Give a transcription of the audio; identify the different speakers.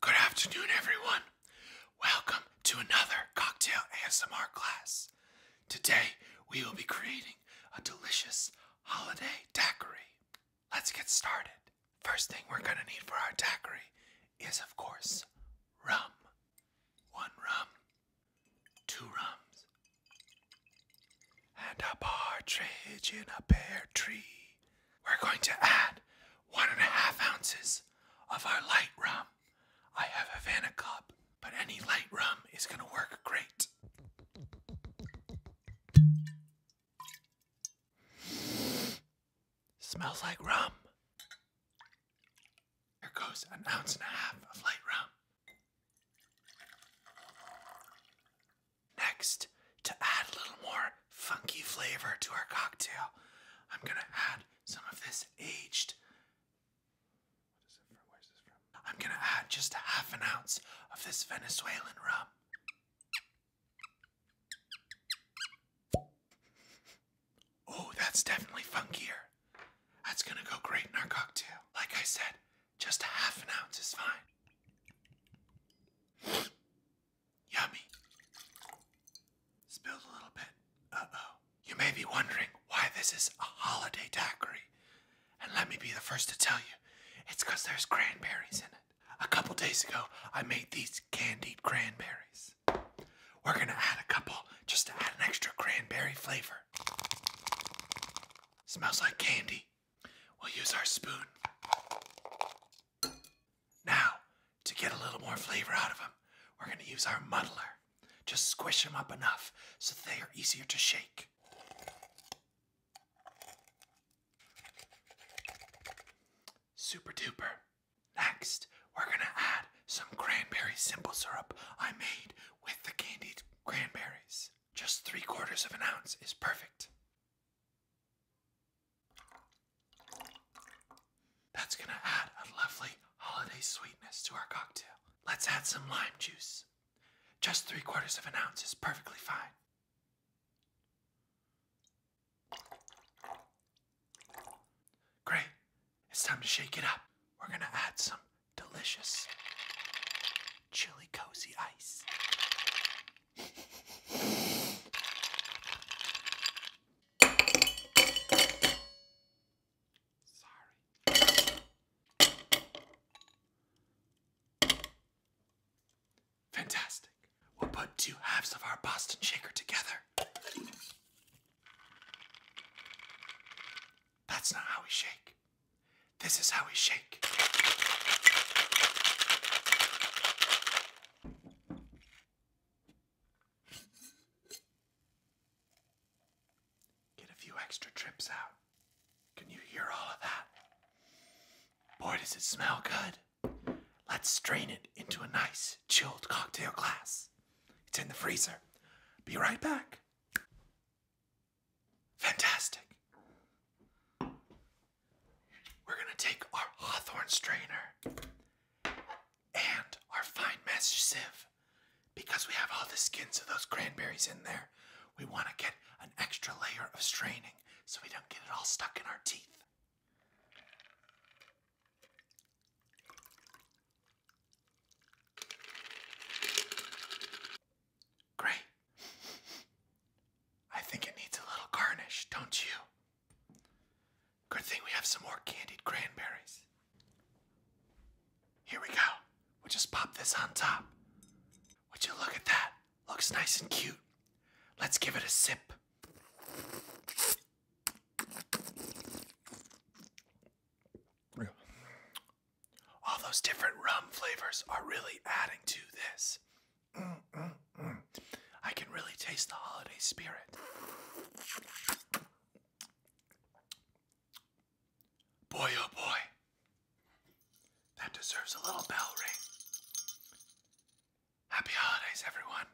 Speaker 1: Good afternoon, everyone. Welcome to another cocktail ASMR class. Today, we will be creating a delicious holiday daiquiri. Let's get started. First thing we're going to need for our daiquiri is, of course, rum. One rum, two rums, and a partridge in a pear tree. We're going to add one and a half ounces of our light rum. I have a Havana Club, but any light rum is going to work great. Smells like rum. There goes an ounce and a half of light rum. Next, to add a little more funky flavor to our cocktail, I'm gonna add some of this aged. Where's this from? I'm gonna add just a half an ounce of this Venezuelan rum. Oh, that's definitely funkier. That's gonna go great in our cocktail. Like I said, just a half an ounce is fine. Yummy. Spilled a little bit. Uh oh. You may be wondering why this is a holiday daiquiri. And let me be the first to tell you, it's because there's cranberries in it. A couple days ago, I made these candied cranberries. We're gonna add a couple just to add an extra cranberry flavor. Smells like candy. We'll use our spoon. Now, to get a little more flavor out of them, we're going to use our muddler. Just squish them up enough so they are easier to shake. Super duper. Next, we're going to add some cranberry simple syrup I made with the candied cranberries just three quarters of an ounce is perfect. That's gonna add a lovely holiday sweetness to our cocktail. Let's add some lime juice. Just three quarters of an ounce is perfectly fine. Great, it's time to shake it up. We're gonna add some delicious chili cozy ice. Sorry. Fantastic. We'll put two halves of our Boston shaker together. That's not how we shake. This is how we shake. Get a few extra trips out. Can you hear all of that? Boy, does it smell good. Let's strain it into a nice chilled cocktail glass. It's in the freezer. Be right back. Fantastic. We're going to take our Hawthorne strainer and our fine mesh sieve because we have all the skins of those cranberries in there. We want to get an extra layer of straining so we don't get it all stuck in our teeth. Great. I think it needs a little garnish, don't you? Good thing we have some more candied cranberries. Here we go. We'll just pop this on top. Would you look at that? Looks nice and cute. Let's give it a sip. All those different rum flavors are really adding to this. I can really taste the holiday spirit. Boy, oh boy. That deserves a little bell ring. Happy holidays, everyone.